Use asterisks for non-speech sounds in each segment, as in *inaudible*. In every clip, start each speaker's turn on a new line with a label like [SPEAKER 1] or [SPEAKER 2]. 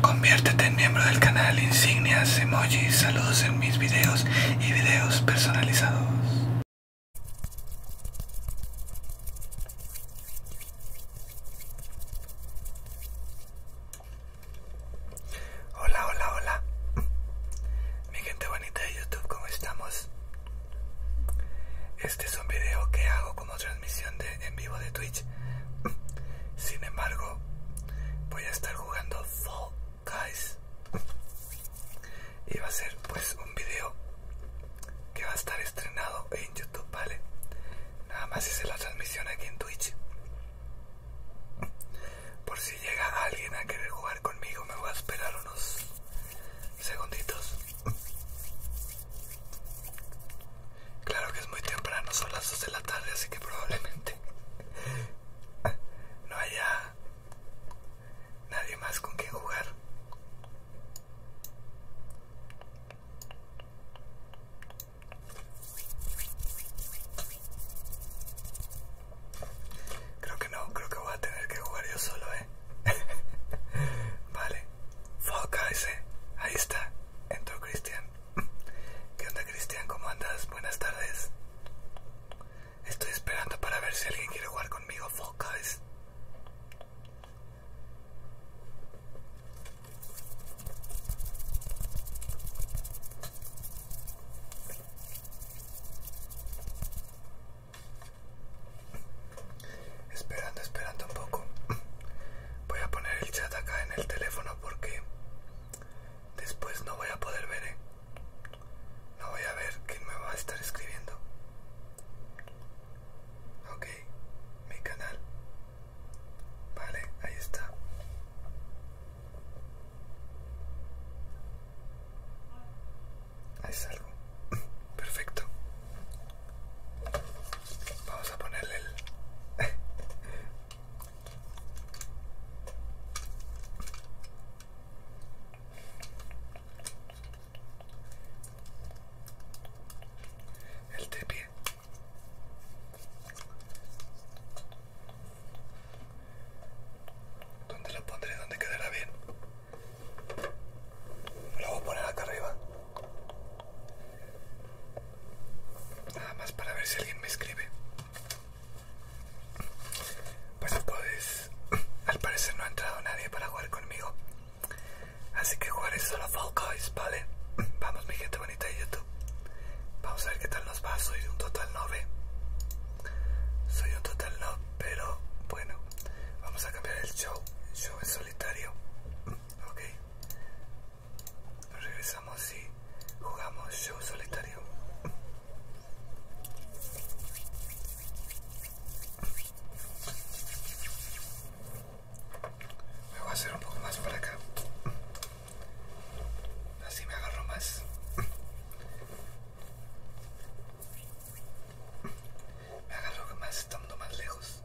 [SPEAKER 1] Conviértete en miembro del canal Insignias, Emojis, Saludos en mis videos y videos personalizados. Hola, hola, hola. Mi gente bonita de YouTube, ¿cómo estamos? Este es un video que hago como transmisión en vivo de Twitch. *laughs* Sin embargo, voy a estar jugando Fall Guys. *laughs* Y va a ser pues un video que va a estar estrenado en YouTube, ¿vale? Nada más hice la transmisión aquí en Twitch. Por si llega alguien a querer jugar conmigo, me voy a esperar unos segunditos. Claro que es muy temprano, son las 2 de la tarde, así que probablemente *laughs* no haya nadie más con quien jugar. Creo que no, creo que voy a tener que jugar yo solo. *laughs* vale. Focus, ah, Ahí está. Entró Cristian. ¿Qué onda Cristian? ¿Cómo andas? Buenas tardes. Estoy esperando para ver si alguien quiere jugar conmigo. Focus. Esperando, esperando un poco. Voy a poner el chat acá en el teléfono porque después no voy a poder ver, ¿eh? No voy a ver quién me va a estar escribiendo. Ok, mi canal. Vale, ahí está. Ahí salgo. *laughs* Perfecto. Vamos a ponerle el... *laughs* el donde ¿Dónde lo pondré? donde quedará bien? Lo voy a poner acá arriba. Nada más para ver si alguien me escribe. Pues podéis. *clears throat* Al parecer no ha entrado nadie para jugar conmigo. Así que jugaré solo Fall Guys, ¿vale? *clears throat* Vamos mi gente bonita de YouTube. Vamos a ver qué tal nos va. Soy un total nueve. Soy un total novio pero bueno. Vamos a cambiar el show. Show en solitario. Mm, ok. regresamos y jugamos show solitario. Mm. Me voy a hacer un poco más para acá. Mm. Así me agarro más. Me agarro que más estando más lejos.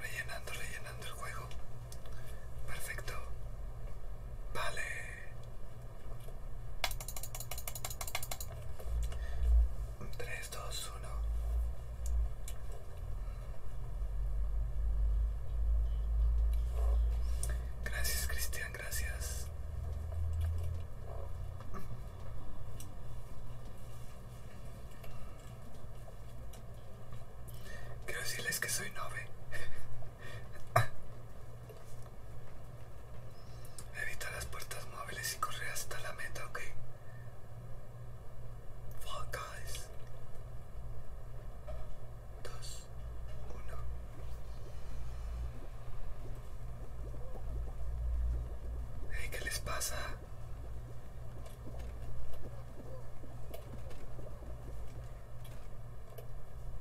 [SPEAKER 1] Rellenando, rellenando el juego. Perfecto. Vale. 3, 2, 1. Gracias, Cristian, gracias. Quiero decirles que soy nove. Evita las puertas móviles y corre hasta la meta, ¿ok? Fuck Guys. Dos, uno. ¿Qué les pasa?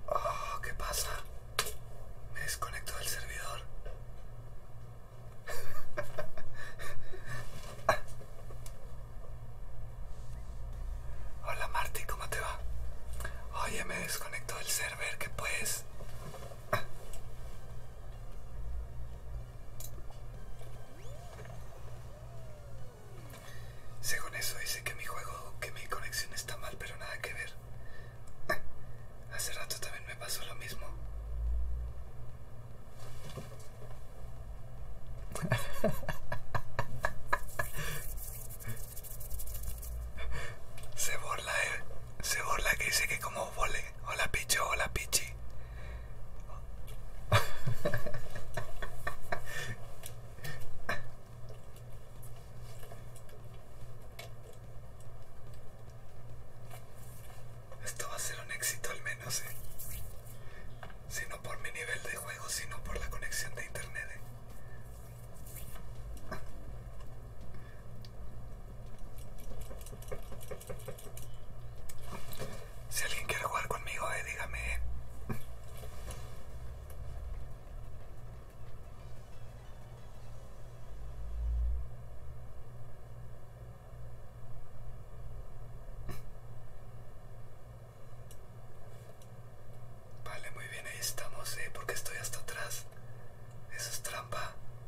[SPEAKER 1] Oh, ¿qué pasa? Me desconecto del servidor. *laughs* Hola Marty! ¿cómo te va? Oye, me desconecto del server, ¿qué puedes? Según eso dice que mi juego, que mi conexión está mal, pero nada que ver. *laughs* Hace rato también me pasó lo mismo. *laughs* Se borla, eh. Se borla que dice que como Oh, hola picho, hola pichi. Esto va a ser un éxito al menos, ¿eh? Si no por mi nivel de juego, sino por la conexión de internet. ¿eh? Si alguien quiere jugar conmigo, eh, dígame. Eh. Vale, muy bien, ahí estamos, ¿eh? Porque estoy hasta atrás. Eso es trampa.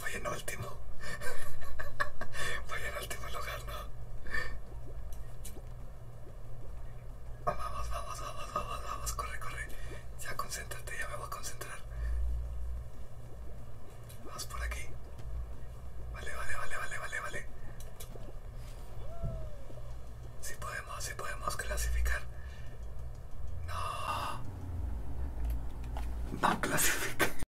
[SPEAKER 1] Voy en último. Voy en último lugar, ¿no? Vamos, vamos, vamos, vamos, vamos, corre, corre. Ya concéntrate, ya me voy a concentrar. Vamos por aquí. Vale, vale, vale, vale, vale, vale. Si sí podemos, si sí podemos clasificar. No. No clasifica.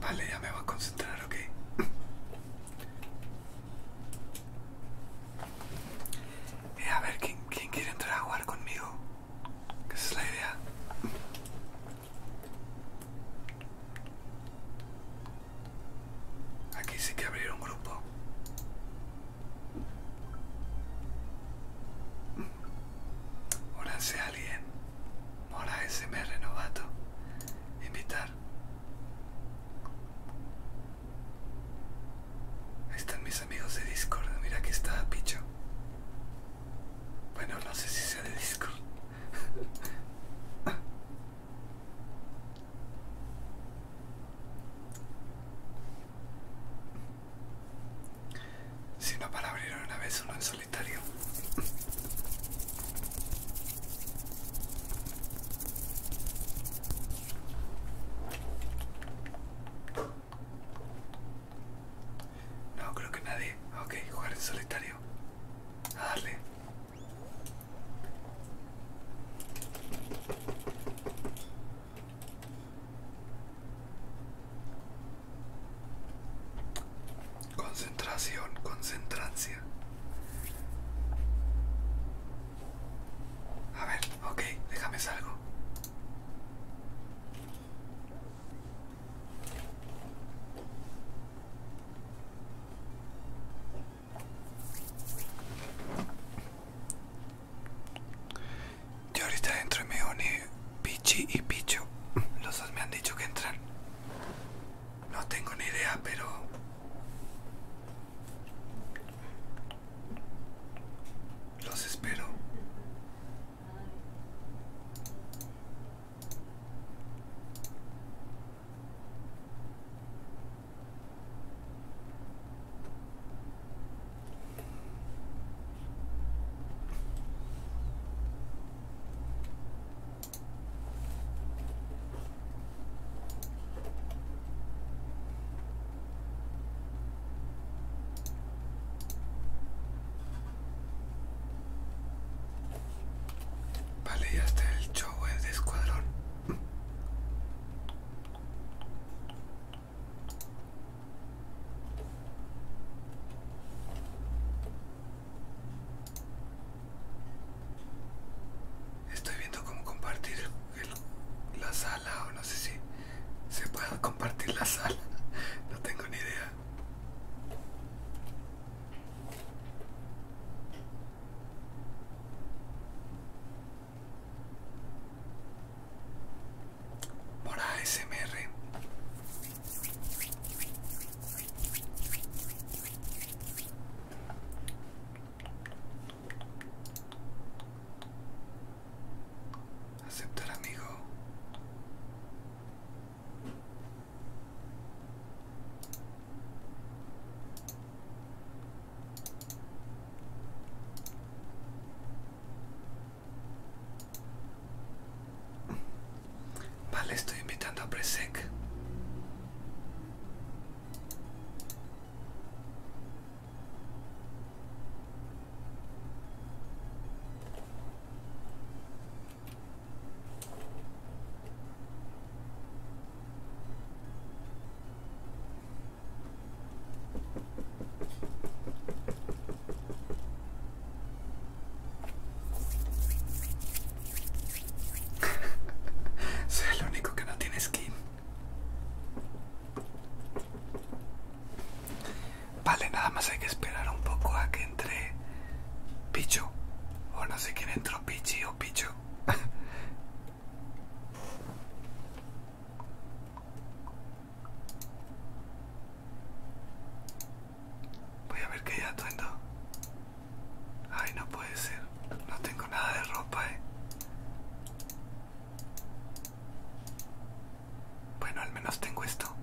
[SPEAKER 1] Vale, ya me voy a concentrar, ok. Eh, a ver, ¿quién, quiere entrar a jugar conmigo? ¿Qué es la idea. Aquí sí que abrir un grupo. Hola sea alguien. Mora SMR Novato. Invitar. Ahí están mis amigos de Discord. Mira que está Picho. Bueno, no sé si sea de Discord sino para abrir una vez uno en solitario. No, creo que nadie. Ok, jugar en solitario. A darle. Concentración, concentrancia. A ver, ok, déjame salgo. Yo ahorita dentro me une Pichi y Picho. Los dos me han dicho que entran. No tengo ni idea, pero. Los espero. Vale, ya está el show de escuadrón. Estoy viendo cómo compartir la sala o no sé si se puede compartir la sala. No tengo ni idea. Mora ASMR. Aceptar amigo. Vale, estoy invitando a Presec. *laughs* Soy el único que no tiene skin. Vale, nada más hay que esperar un poco a que entre Pichu. O no sé quién entró, Pichi o Pichu. Voy a ver qué hay atuendo. Ay, no puede ser. No tengo nada de ropa, eh. Bueno, al menos tengo esto.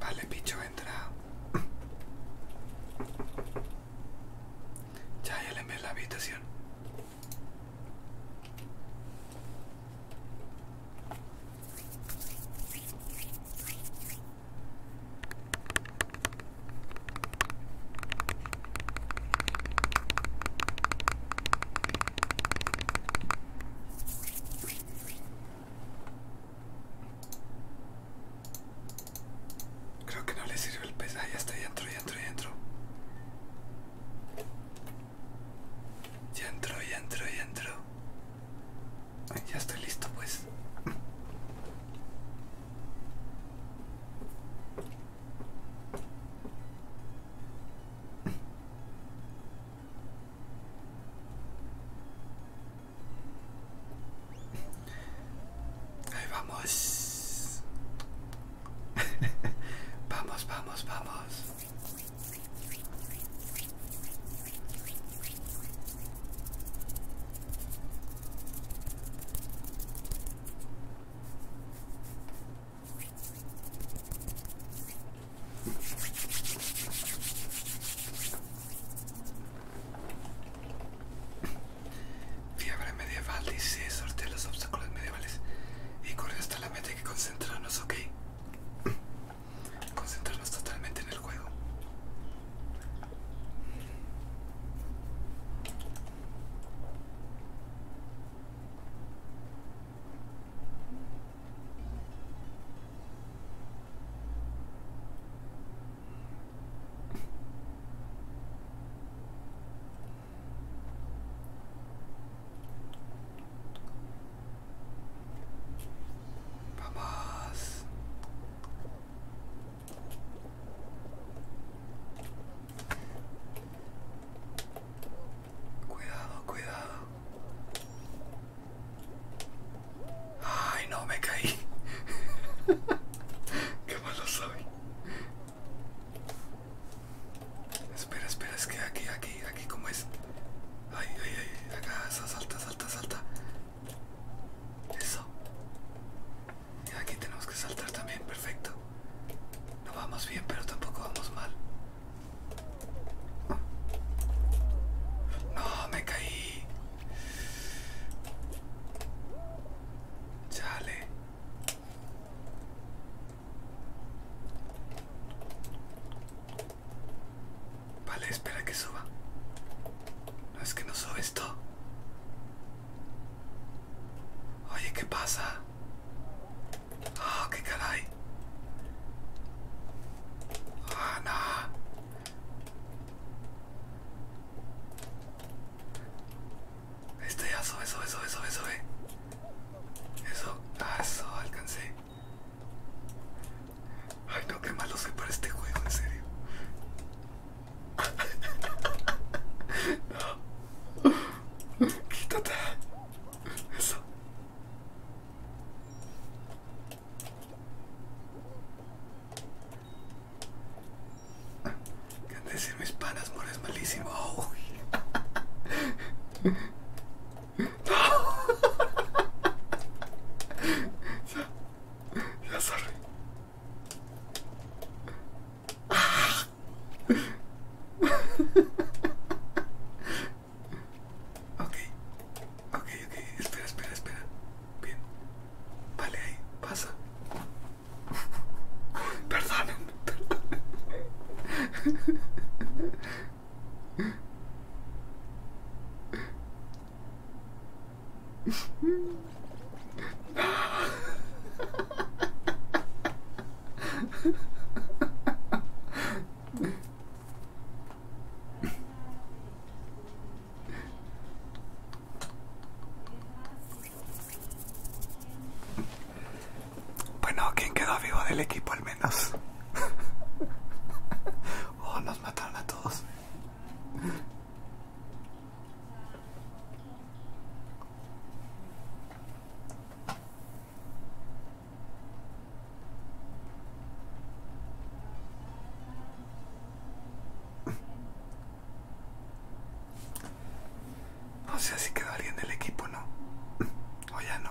[SPEAKER 1] Vale, picho, entra. Ya, ya le envié la habitación. Creo que no le sirve el pesaje ah, hasta ya estoy ya entro, ya entro, ya entro. Ya entro, ya entro, ya entro. Ya estoy listo pues. Ahí vamos. *laughs* vamos, vamos, vamos. Fiebre medieval dice sorte los obstáculos medievales y corre hasta la meta que concentrarnos, ok concentrarnos totalmente en el juego. Vamos. Cuidado, cuidado. Ay, no me caí. *laughs* Qué malo soy. Espera, espera, es que aquí, aquí, aquí, como es? Ay, ay, ay, acá, salta, salta, salta. Eso. Y aquí tenemos que saltar también, perfecto. No vamos bien, pero tampoco vamos mal. No, me caí. Chale. Vale, espera que suba. No es que no sube esto. Oye, ¿qué pasa? Oh, qué caray. Ah, no. Esto ya sube, sube, sube, sube, sube. Eso, ah, eso, alcancé. Ay, no, qué malo se para este juego, en serio. No. *laughs* Quítate. Eso. ¿Qué han de decir mis panas, Es malísimo. *laughs* Ya sorry. okay, ah. okay ok, ok, espera, espera, espera. Bien. Vale, ahí, pasa. Perdón, perdón. Bueno, ¿quién quedó vivo del equipo al menos? *laughs* oh, nos mataron a todos. O sea, si quedó alguien del equipo, ¿no? O ya no.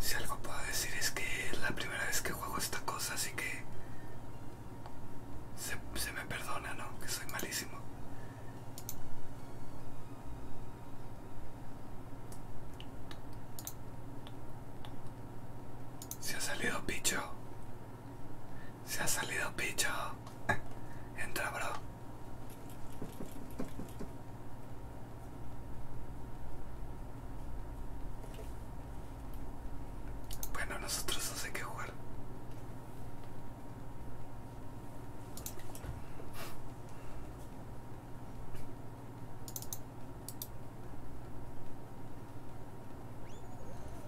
[SPEAKER 1] Si algo puedo decir es que es la primera vez que juego esta cosa, así que se, me perdona, ¿no? Que soy malísimo. Se ha salido picho. Se ha salido picho. Entra, bro. Bueno, nosotros no sé qué jugar.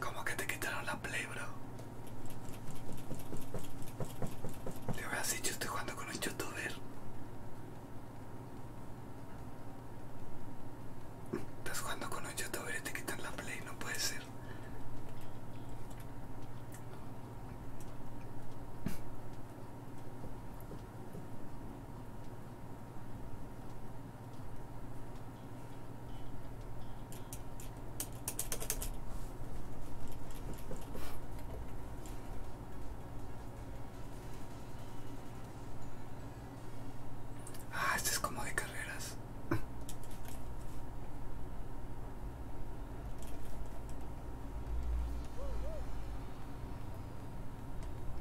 [SPEAKER 1] ¿Cómo que te quitaron la play, bro? Le decir yo estoy jugando con un youtuber. Estás jugando con un youtuber y te quitan la play, no puede ser. Ah, esto es como de carreras.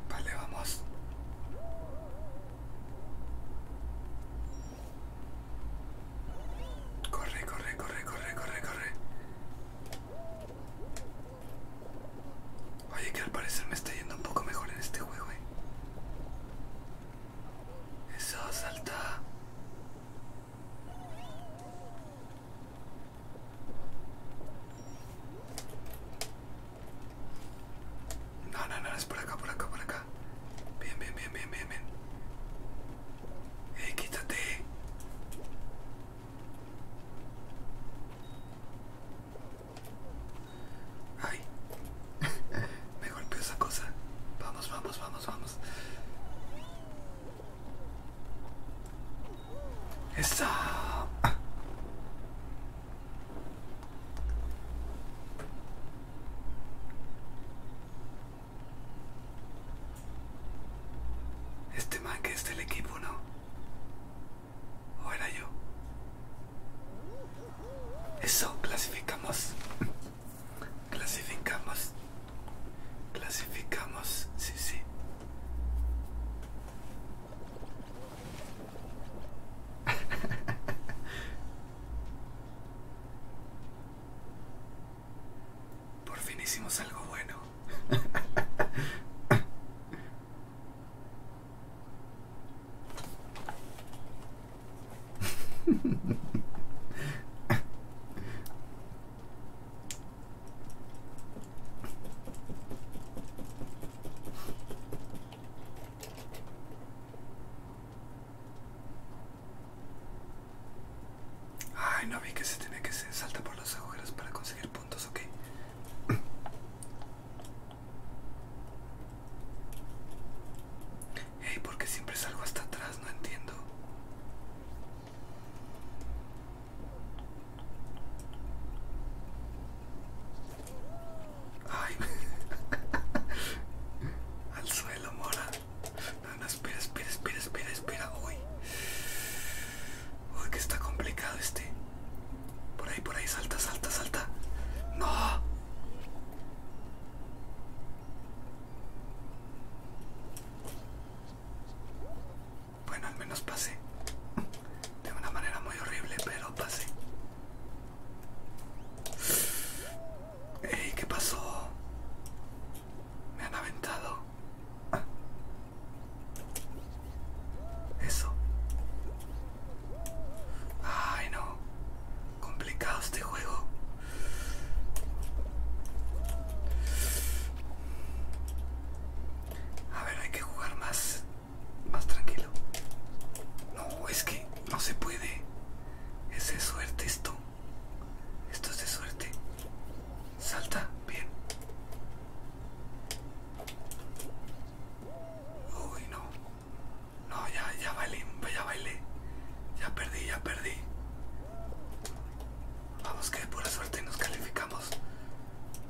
[SPEAKER 1] Vale, vamos. Corre, corre, corre, corre, corre, corre. Oye, que al parecer me está yendo un poco mejor en este juego, eh. Eso, salta. No, no, no, es por acá, por acá, por acá. Bien, bien, bien, bien, bien, bien. Eh, quítate! ¡Ay! Me golpeó esa cosa. Vamos, vamos, vamos, vamos. Está. Este man que es del equipo, ¿no? ¿O era yo? Eso, clasificamos. clasificamos. Clasificamos, sí, sí. *laughs* Por fin hicimos algo bueno. *laughs* Ay, no vi que se tenía que se salta por los agujeros para conseguir puntos, ok. *clears throat* ¿por porque siempre salgo hasta atrás, no entiendo. Ay. *laughs* Al suelo, mora. No, espera, espera, espera, espera, espera. Uy. Uy, que está complicado este. Por ahí, por ahí, salta, salta, salta. No. Bueno, al menos pasé de una manera muy horrible, pero pasé. Ey, ¿qué pasó? Me han aventado. Eso. Ay, no. Complicado este juego. A ver, hay que jugar más más tranquilo. No, es que no se puede. Es de suerte esto. Esto es de suerte. Salta, bien. Uy, no. No, ya, ya bailé, ya bailé. Ya perdí, ya perdí. Vamos que por pura suerte nos calificamos.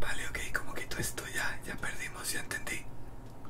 [SPEAKER 1] Vale, ok, como quito esto ya, ya perdimos, ya entendí.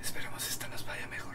[SPEAKER 1] Esperemos que esta nos vaya mejor.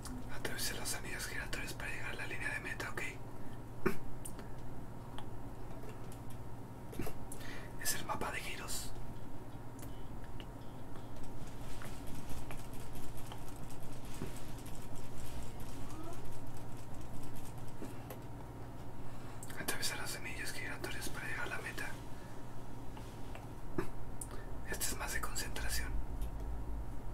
[SPEAKER 1] Atraviesa las semillas giratorias para llegar a la línea de meta, ok. Es el mapa de giros. atraviesa las semillas giratorias para llegar a la meta. Este es más de concentración.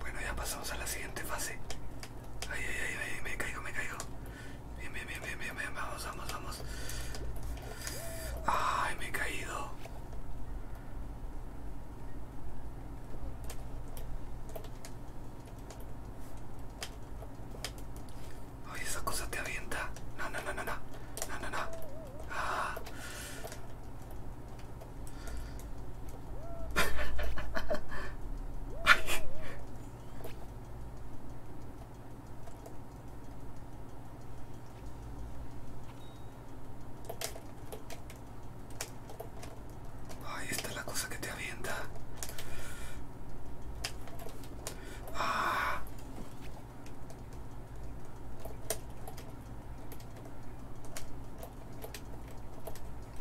[SPEAKER 1] Bueno, ya pasamos a la siguiente fase. Ay, ay, ay, me caigo, me caigo. bien, bien, bien, bien, bien. vamos, vamos, vamos. Ay, me he caído. Ay, esa cosa te avienta. No, no, no, no, no. Ah. *laughs* Ay, esta es la cosa que te avienta. Ah.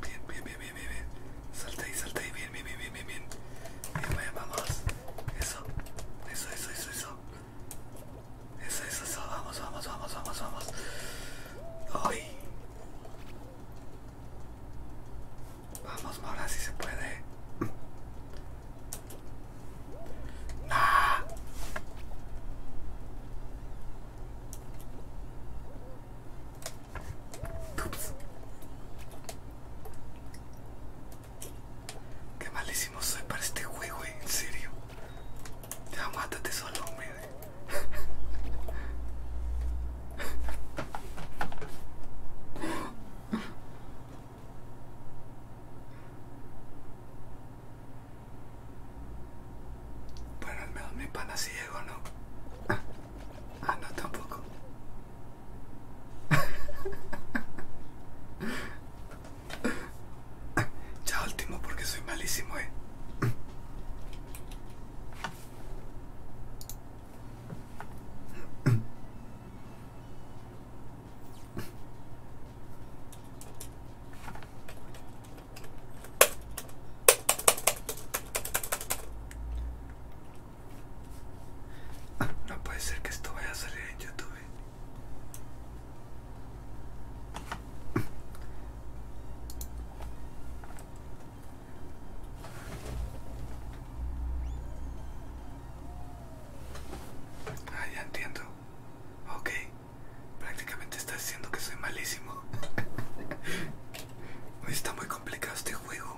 [SPEAKER 1] Bien, bien, bien, bien, bien, bien. Salta ahí, salta ahí, bien, bien, bien, bien, bien, bien. Bien, vamos. Eso, eso, eso, eso, eso. Eso, eso, eso, vamos, vamos, vamos, vamos, vamos. Ay. Vamos, ahora si se puede. Ah. Qué malísimo soy para este juego, eh, en serio. Ya mátate solo, hombre. Bueno, al menos mi pana ciego, ¿no? Ah, no, tampoco. Ya último porque soy malísimo, eh. No puede ser que esto vaya a salir en YouTube. Ah, ya entiendo. Ok. Prácticamente está diciendo que soy malísimo. *laughs* está muy complicado este juego.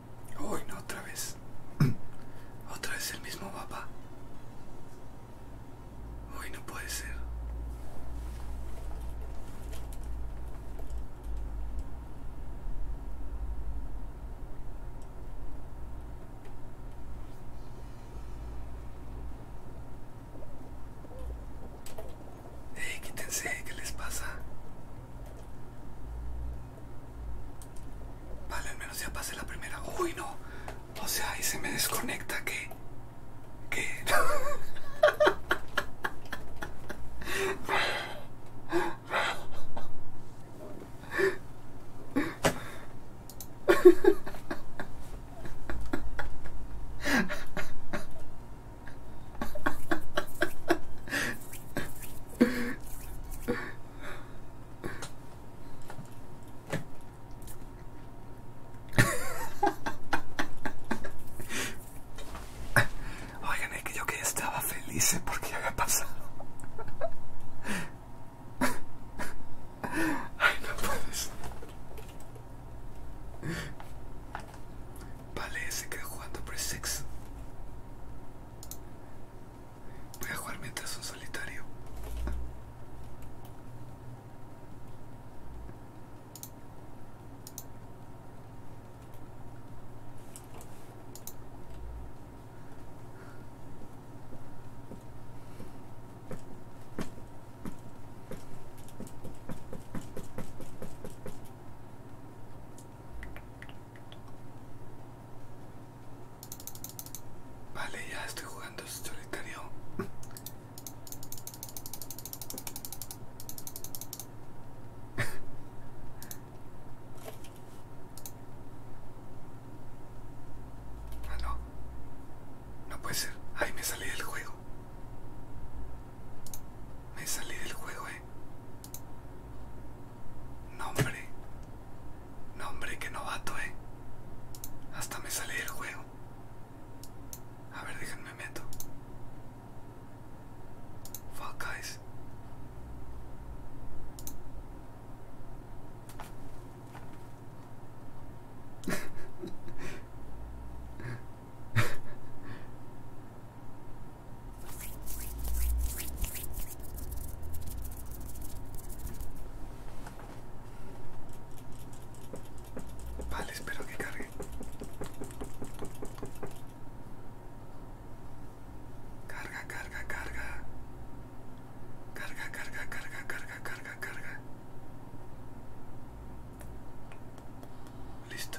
[SPEAKER 1] Uy, no, otra vez. *clears throat* otra vez el mismo papá. Hoy no puede ser. qué quítense, ¿qué les pasa? Vale, al menos ya pasé la primera. Uy, no. O sea, ahí se me desconecta que... Que... *laughs* Oigan, es que yo que estaba feliz porque había pasado. Ay, no puedes. Vale, se quedó jugando por sexo. Voy a jugar mientras son solitario. Vale, ya estoy jugando solitario. Ah, no. No puede ser. Ay, me salí del juego. Me salí del juego, eh. Nombre. Nombre, que novato, eh. Hasta me sale el juego. A ver, déjenme meto. Fuck *laughs* Vale, espero que cargue. Carga, carga, carga. Carga, carga, carga, carga, carga, carga. Listo.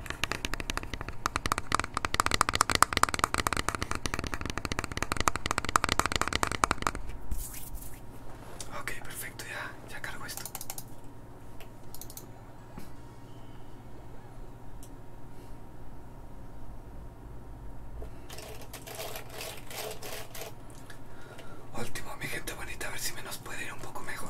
[SPEAKER 1] Ok, perfecto, ya, ya cargo esto. Último, mi gente bonita, a ver si menos puede ir un poco mejor.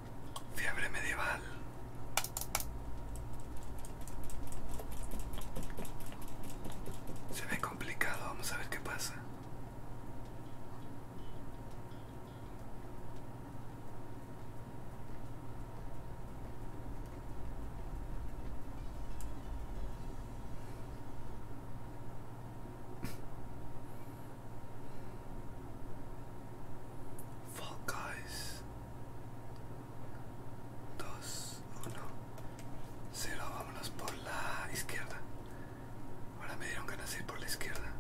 [SPEAKER 1] Fiebre medieval. Se ve complicado, vamos a ver qué pasa. Fuck Guys 2, 1, 0, vámonos por la izquierda. Ahora me dieron ganas de ir por la izquierda.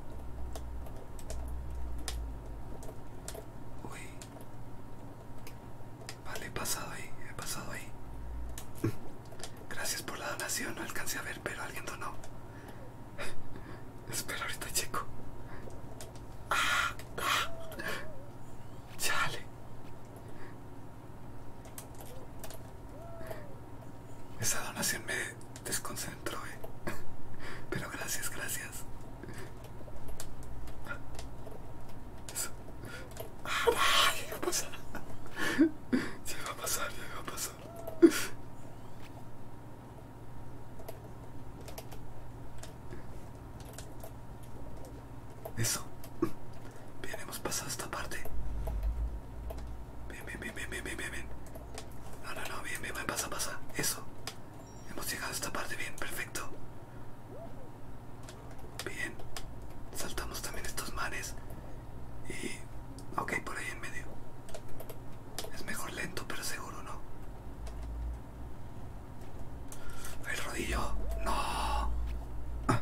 [SPEAKER 1] Uy. Vale, he pasado ahí, he pasado ahí. Gracias por la donación, no alcancé a ver, pero alguien donó. *laughs* Espera, ahorita chico ah, ah. ¡Chale! Esa donación me desconcentró, eh. *laughs* Pero gracias, gracias. Eso. ¡Ah! ¡Ya iba a pasar! *laughs* ¡Ya iba a pasar, ya va a pasar ya va a pasar eso. Bien, hemos pasado esta parte. Bien, bien, bien, bien, bien, bien, bien. No, no, no, bien, bien, bien, pasa, pasa. Eso. Hemos llegado a esta parte, bien, perfecto. Bien. Saltamos también estos manes Y Ok, por ahí en medio. Es mejor lento, pero seguro, ¿no? El rodillo. No. Ah.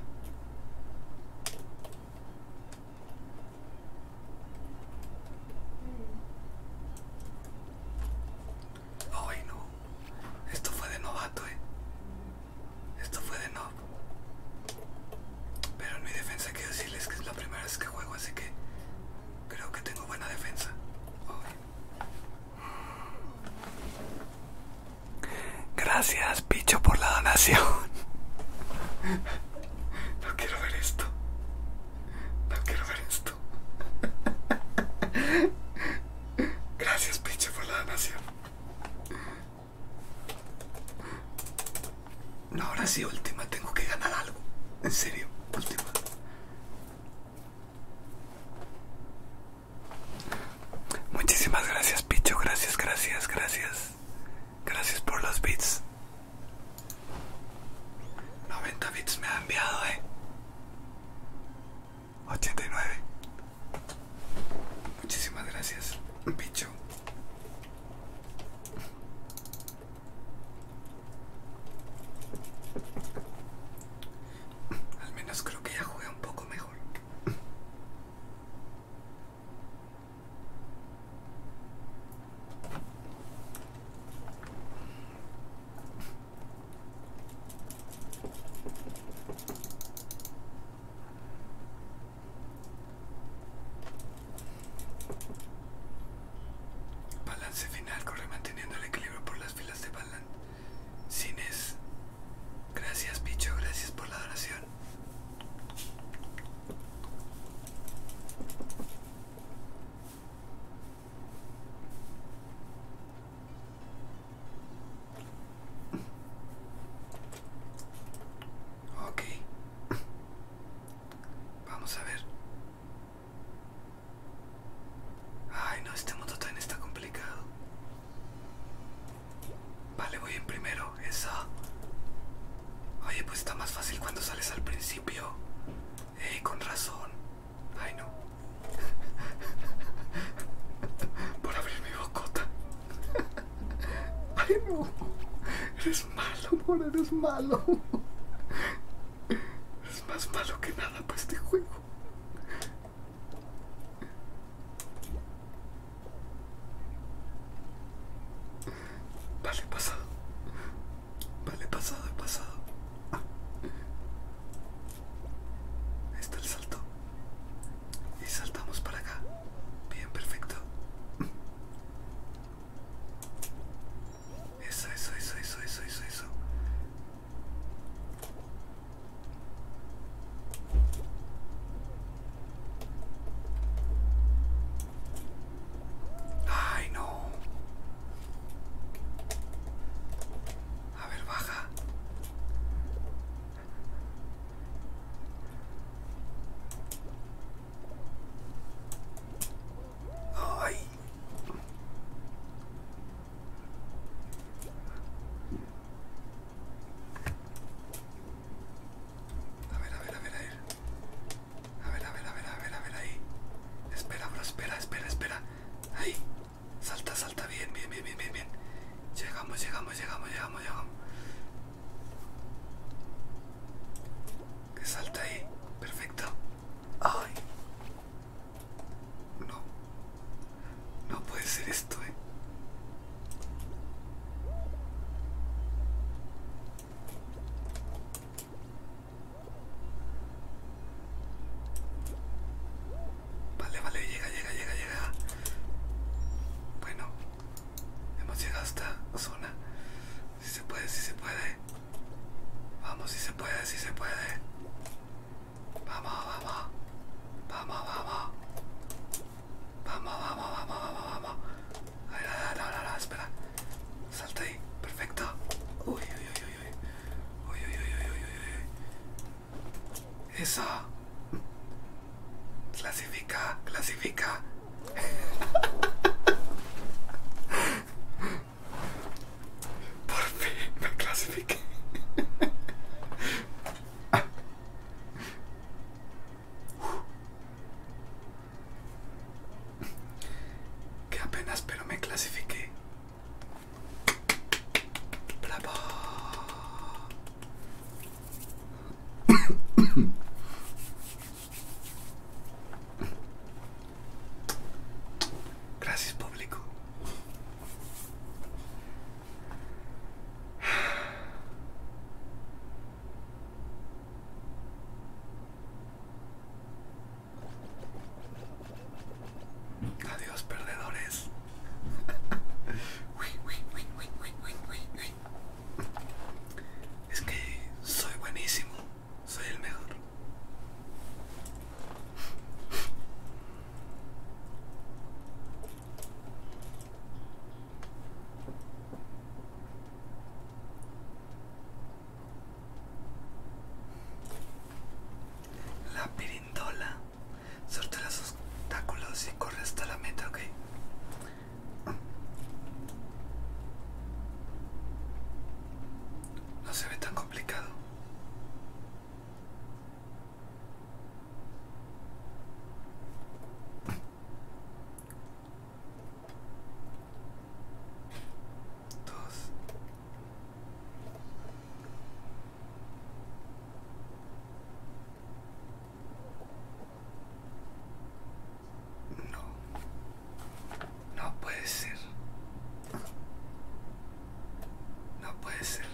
[SPEAKER 1] Ay, no. Esto fue de novato, eh. Esto fue de nov Pero en mi defensa quiero decirles que es la primera vez que juego, así que Creo que tengo buena defensa. Gracias, Picho, por la donación. No quiero ver esto. No quiero ver esto. Gracias, Picho, por la donación. No, ahora sí, última, tengo que ganar algo. En serio, última. Muchísimas gracias, Picho. Gracias, gracias, gracias. Gracias por los bits. 90 bits me ha enviado, eh. 89. Muchísimas gracias, Picho. Al menos creo que ya juega un poco mejor. Balance final, corre manteniendo el equilibrio por las filas de balance Cines. Gracias, Picho, gracias por la adoración Ok, vamos a ver. Ay, no, este mundo también está complicado. Vale, voy en primero, esa. Oye, pues está más fácil cuando sales al principio. Ey, con razón. Ay, no. *laughs* Por abrir mi bocota. *laughs* Ay, no malo, boludo, eres malo. Es más malo que nada para este juego. Vale, pasado. Vale, pasado, pasado. Ah. Ahí está el salto. Y saltamos para acá. Bien, perfecto. Eso, eso, eso, eso, eso, eso, eso. Ay, no. A ver, baja. Ay. A ver, a ver, a ver, a ver. A ver, a ver, a ver, a ver, a ver, ahí. Espera, bro, espera, espera, espera. Ahí. Salta, salta, bien, bien, bien, bien, bien, Llegamos, llegamos, llegamos, llegamos, llegamos. Que salta ahí. Perfecto. Ay. No. No puede ser esto, eh. Vale, vale, llega, llega, llega, llega. Bueno, hemos llegado a esta zona. Si se puede, si se puede. Vamos, si se puede, si se puede. Vamos, vamos. Vamos, vamos. Vamos, vamos, vamos, vamos, vamos. Ay, no, no, no, espera. Salta ahí. Perfecto. Uy, uy, uy, uy, uy. Uy, uy, uy, uy, uy, uy. Eso. Clasifica, clasifica. *laughs* Por fin me clasifiqué. Ah. Que apenas, pero me clasifiqué. Gracias, público. Adiós, perdedores. Uy, uy, uy, uy, uy, uy, uy. Es que soy buenísimo. Soy el mejor. La pirindola. Sorte los obstáculos y corre hasta la meta, ok. No se ve tan complicado. No. No puede ser. No puede ser.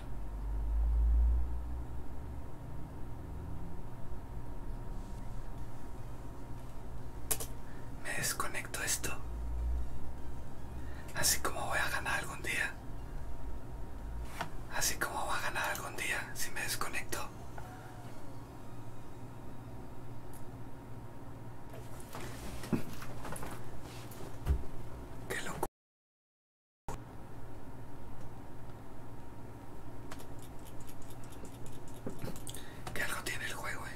[SPEAKER 1] Me desconecto esto. Así como voy a ganar algún día. Así como voy a ganar algún día si me desconecto. Qué loco. Que algo tiene el juego, eh.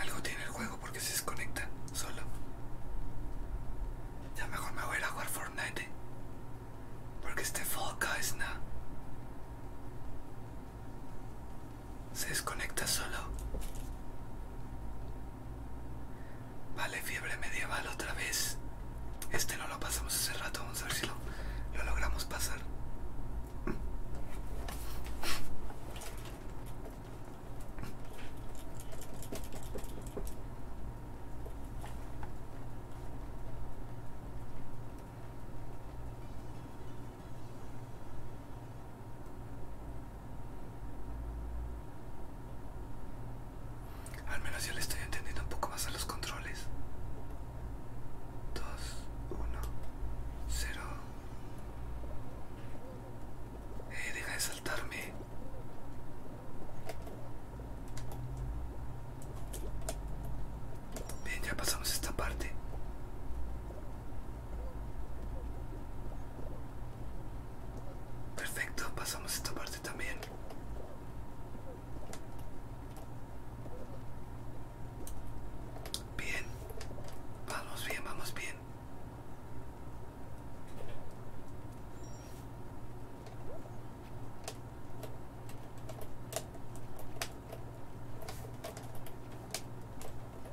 [SPEAKER 1] Algo tiene el juego porque se desconecta solo. Ya mejor me voy a jugar Fortnite, eh. Porque este Fall es nada se desconecta solo. Vale, fiebre medieval otra vez. Este no lo pasamos hace rato, vamos a ver si lo, lo logramos pasar. Al menos yo le estoy entendiendo un poco más a los controles. Dos, uno, cero Eh, deja de saltarme. Bien, ya pasamos esta parte. Perfecto, pasamos esta parte también. Bien, vamos bien, vamos bien.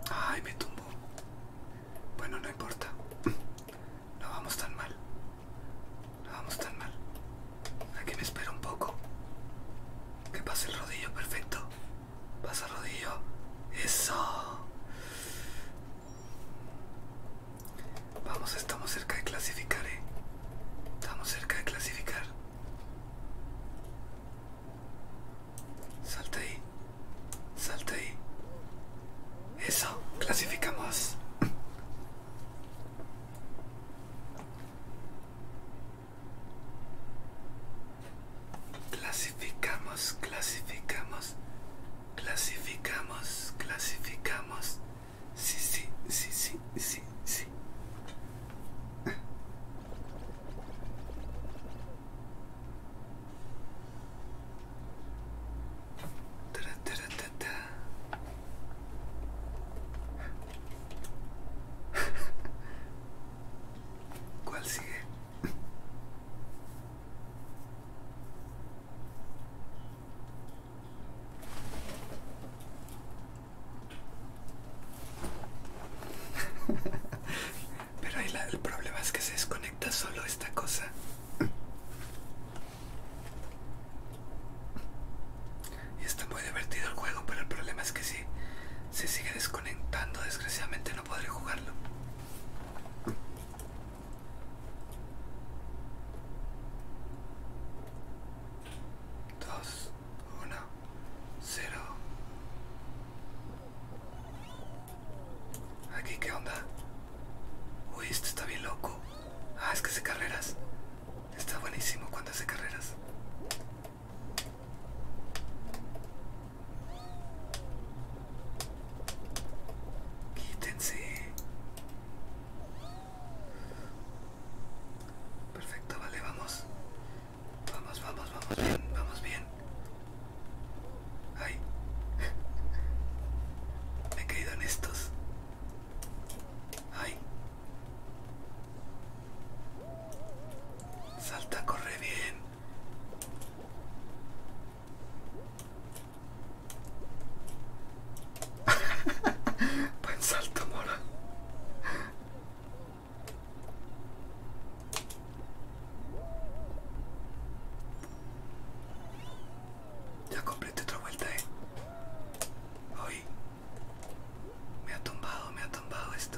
[SPEAKER 1] Ay, me tumbó. Bueno, no importa. No vamos tan mal. No vamos tan mal. Aquí me espero un poco. Que pase el rodillo, perfecto. Pasa el rodillo. Eso. Vamos, estamos cerca de clasificar, eh. Estamos cerca de clasificar. Salta ahí. salta ahí. Eso, clasificamos. clasificamos, clasificamos, clasificamos, clasificamos. Sí, sí, sí, sí, sí, sí. *laughs* ¿Cuál sigue? *laughs* Pero el problema es que se desconecta solo esta cosa. Y está muy divertido el juego, pero el problema es que si se sigue desconectando, desgraciadamente no podré jugarlo. Dos, uno, cero. Aquí, ¿qué onda? Uy, esto está bien loco. Ah, es que hace carreras. Está buenísimo cuando hace carreras. Quítense. Perfecto, vale, vamos. Vamos, vamos, vamos bien, vamos bien. Ay. *laughs* Me he caído en estos. Ay. Salta, corre bien. *laughs* Buen salto, mola. Ya completé otra vuelta, eh. Hoy me ha tumbado, me ha tumbado esto.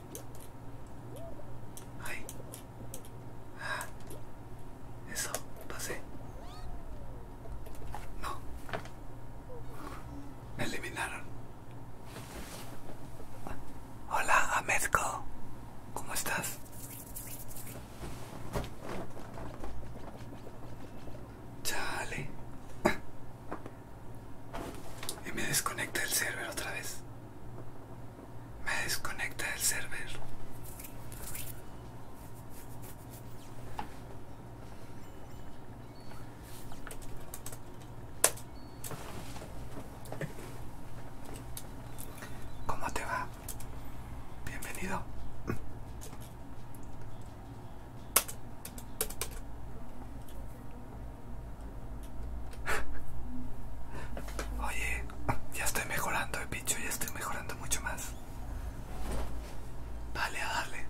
[SPEAKER 1] Ay. Ah. Eso, pasé. No. Me eliminaron. Hola, Amezco. ¿Cómo estás? Chale. y me desconecta el server otra vez. Me desconecta del server. ¿Cómo te va? Bienvenido. *laughs* Oye, ya estoy mejorando, eh, ya estoy mejorando mucho más. Vale, dale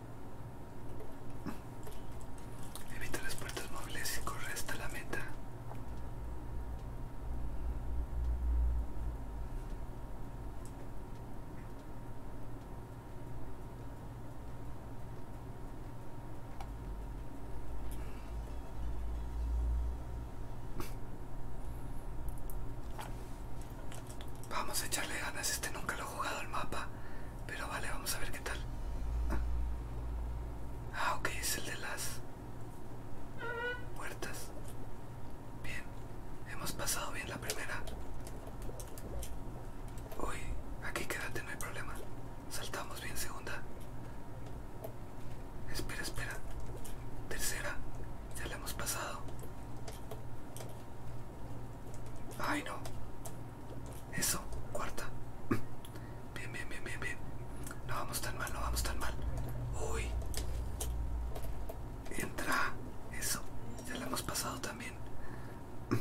[SPEAKER 1] Evita las puertas móviles y corre hasta la meta. Vamos a echarle ganas, este nunca lo he jugado al mapa. Pero vale, vamos a ver qué tal. Ah. ah, ok, es el de las puertas. Bien, hemos pasado bien la primera. Uy, aquí quédate, no hay problema. Saltamos bien segunda. Espera, espera. Tercera, ya la hemos pasado. Ay, no. Eso, cuarta. Mm. Bien, bien, bien, bien, bien. No vamos tan mal, no vamos tan mal. Uy. Entra. Eso. Ya la hemos pasado también. Mm.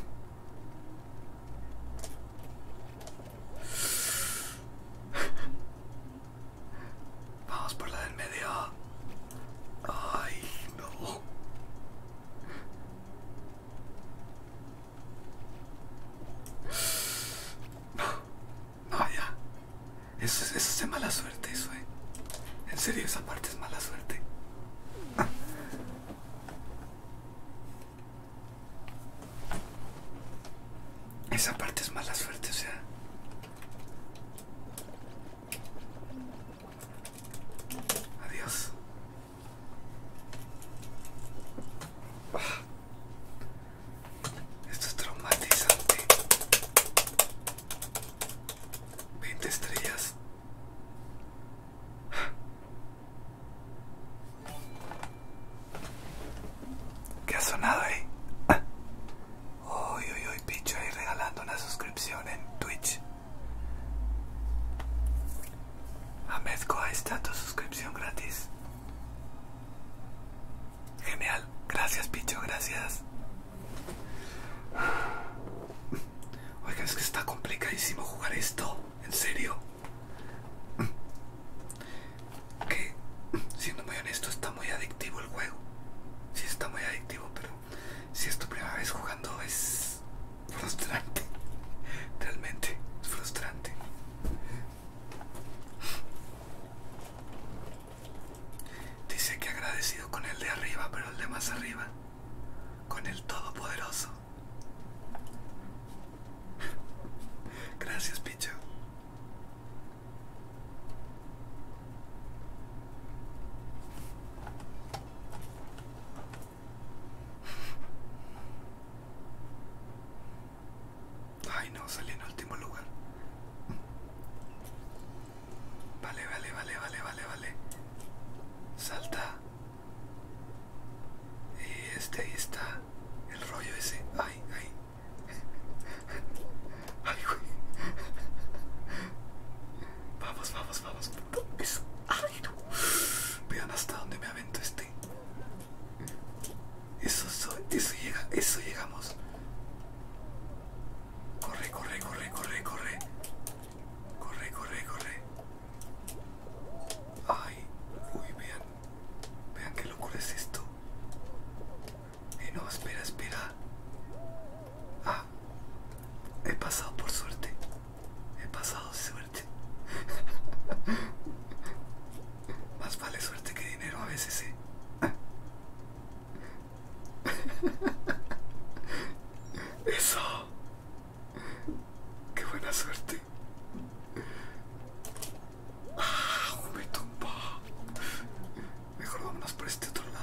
[SPEAKER 1] Vamos por la del medio. Ay, no no, ya, eso es de mala suerte, eso, eh. En serio, esa parte es mala suerte. *laughs* Esa parte es mala suerte, o sea. Adiós. Ah. Esto es traumatizante. 20 estrellas. ¿Qué ha sonado ahí? Hoy, ah. hoy, hoy, Picho ahí regalando una suscripción en Twitch a está tu suscripción gratis. Genial, gracias Picho, gracias. Oiga, es que está complicadísimo jugar esto, en serio. Que, siendo muy honesto, está muy adictivo el juego. Sí está muy adictivo, pero si es tu primera vez jugando es frustrante. Realmente es frustrante. Dice que agradecido con el de arriba, pero el de más arriba. Con el Todopoderoso. Gracias, Picho. Ay no, salí en último lugar. Vale, vale, vale, vale, vale, vale. Salta. Y este ahí está. El rollo ese. Ay, ay. *laughs* Ay, güey. Vamos, vamos, vamos. Ah. Vean hasta dónde me avento este. Eso, eso, eso llega, eso llegamos. Corre, corre, corre, corre, corre. Corre, corre, corre. Ay, uy, vean. Vean qué locura es esto. Eh, no, espera, espera. Ah, he pasado por suerte. He pasado suerte. *laughs* Más vale suerte que dinero a veces, ¿eh? sí. *laughs* Eso. Qué buena suerte. me ah, tumbó. Mejor vámonos por este otro lado.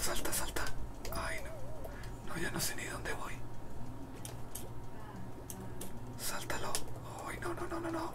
[SPEAKER 1] Salta, salta. Ay, no. No, ya no sé ni dónde voy. Sáltalo. Ay, no, no, no, no, no.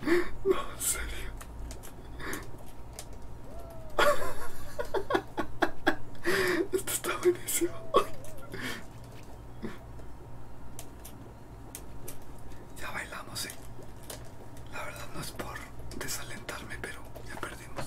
[SPEAKER 1] No, en serio. Esto está buenísimo. Ya bailamos, ¿eh? La verdad no es por desalentarme, pero ya perdimos.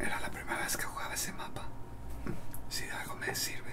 [SPEAKER 1] Era la primera vez que jugaba ese mapa. Si de algo me sirve.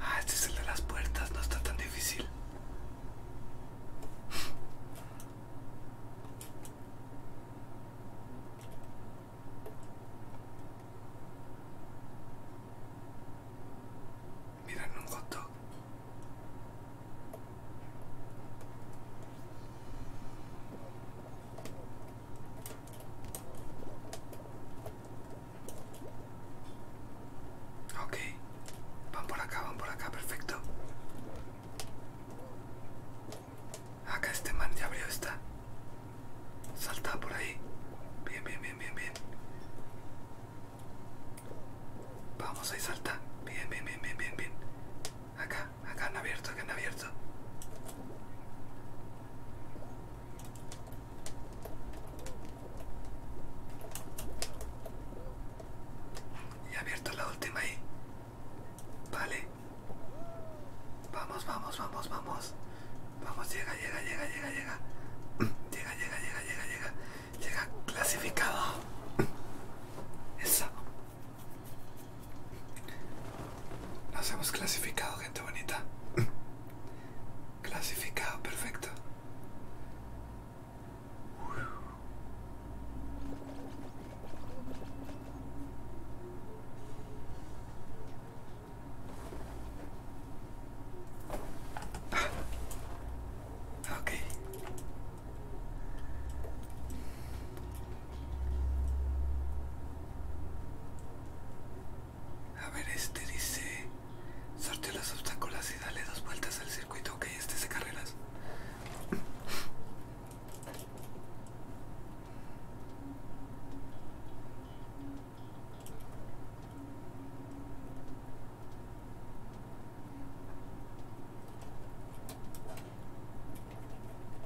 [SPEAKER 1] Ah, este es el de las puertas, no está tan difícil. Miren un goto Ok, van por acá, van por acá, perfecto. Acá este man ya abrió esta. Salta por ahí. Bien, bien, bien, bien, bien. Vamos ahí, salta. Bien, bien, bien, bien, bien, bien. Acá acá, han abierto, acá han abierto. Y abierto la última ahí. Vale. Vamos, vamos, vamos, vamos. Vamos, llega, llega, llega, llega, llega. *clears throat* Llega, llega, llega, llega, llega. Llega clasificado. *clears throat* Eso. Nos hemos clasificado, gente bonita. clasificado, perfecto. Ah. A ver, este dice... sorteo los obstáculos y dale dos vueltas al circuito. Ok, este es de carreras.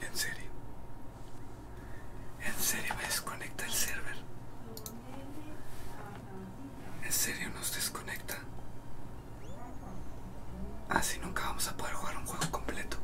[SPEAKER 1] En serio. En serio me desconecta el server. En serio nos desconecta. Así ah, nunca vamos a poder jugar un juego completo.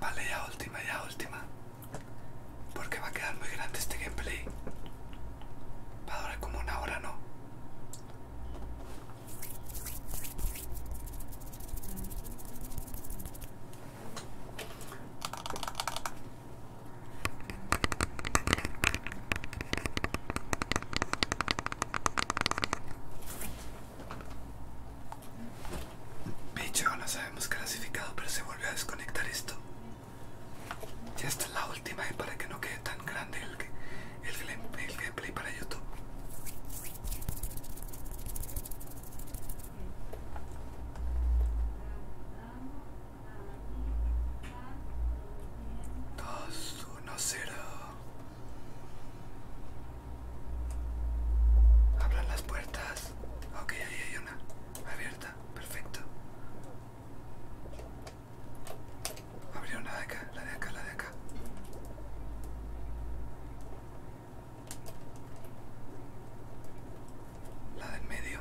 [SPEAKER 1] Vale, ya última, ya última. Porque va a quedar muy grande este gameplay. Va a durar como una hora, ¿no? Bicho, no sabemos clasificado, pero se volvió a desconectar esto. Ya es la última y eh, para que no quede tan grande el, el, el gameplay para YouTube. 2, 1, 0. Abran las puertas. Ok, ahí hay una. Abierta. Perfecto. Abrió una de acá, la de acá, la de acá. La del medio.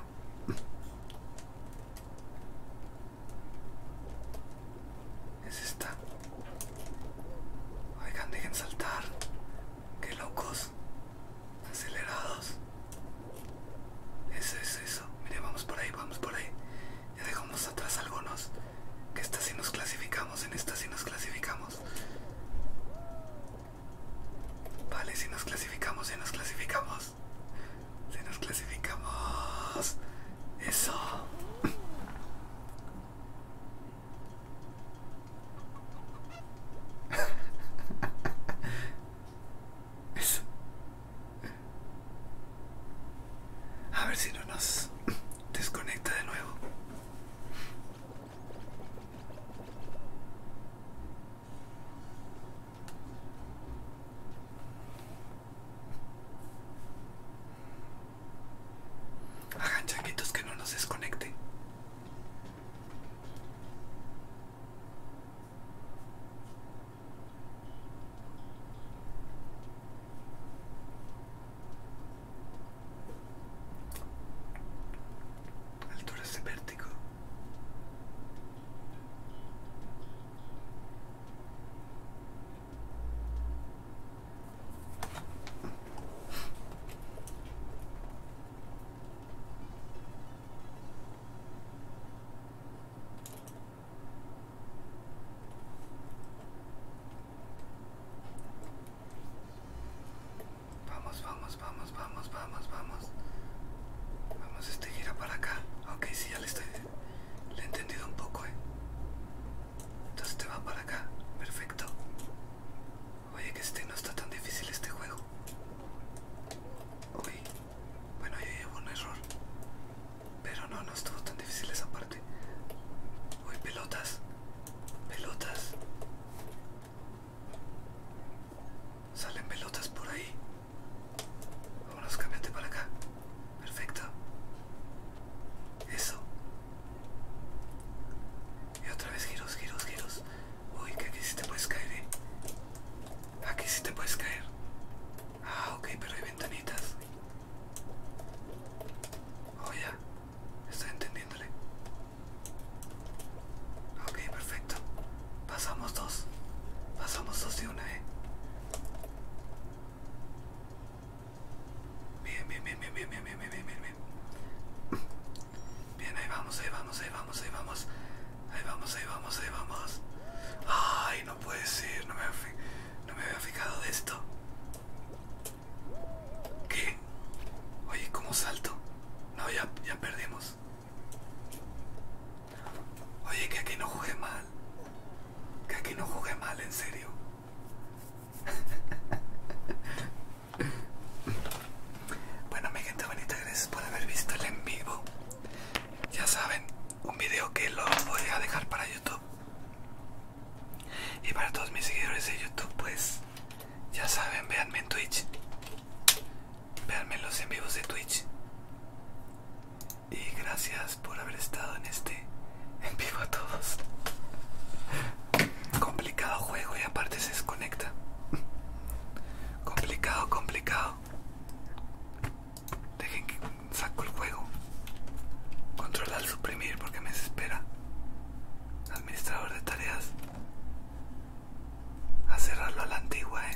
[SPEAKER 1] Es esta. Oigan, dejen saltar. Qué locos. Acelerados. Eso, es eso. Mire, vamos por ahí, vamos por ahí. Ya dejamos atrás algunos. Que esta sí nos clasificamos, en esta sí nos clasificamos. Vale, si nos clasificamos, si nos clasificamos. Si nos clasificamos. Eso. *laughs* Eso. A ver si no nos desconecta de nuevo. Hagan changuitos que no nos desconecten altura se vértigo Vamos, vamos, vamos, vamos, vamos, vamos. Vamos, este gira para acá. Ok, sí, ya le estoy. Le he entendido un poco, eh. Entonces te va para acá. Perfecto. Oye, que este no está tan difícil este juego. Uy. Bueno, yo llevo un error. Pero no, no estuvo tan difícil esa parte. Uy, pelotas. Pelotas. Salen pelotas por ahí. Vámonos, cámbiate para acá. Perfecto. Eso. Y otra vez giros, giros, giros. Uy, que aquí sí te puedes caer, eh. Aquí sí te puedes caer. Ah, ok, pero hay ventanitas. Oh, ¿Está entendiéndole? Ok, perfecto. Pasamos dos. Pasamos dos y una, eh. Bien, bien, bien, bien, bien, bien, bien, bien, bien, bien. Bien, ahí vamos, ahí vamos, ahí vamos, ahí vamos. Ahí vamos, ahí vamos, ahí vamos. Ay, no puede ser, no me, no me había fijado de esto. ¿Qué? Oye, ¿cómo salto? No, ya, ya perdimos. Oye, que aquí no jugué mal. Que aquí no jugué mal, en serio. *laughs* bueno, mi gente bonita, gracias por haber visto el en vivo. Ya saben, un video que lo voy a dejar para YouTube. Y para todos mis seguidores de YouTube, pues ya saben, véanme en Twitch. Véanme en los en vivos de Twitch. Y gracias por haber estado en este en vivo a todos. Complicado juego y aparte se desconecta. Complicado, complicado. Dejen que saco el juego. Controlar suprimir porque me desespera. Administrador de tareas a cerrarlo a la antigua, ¿eh?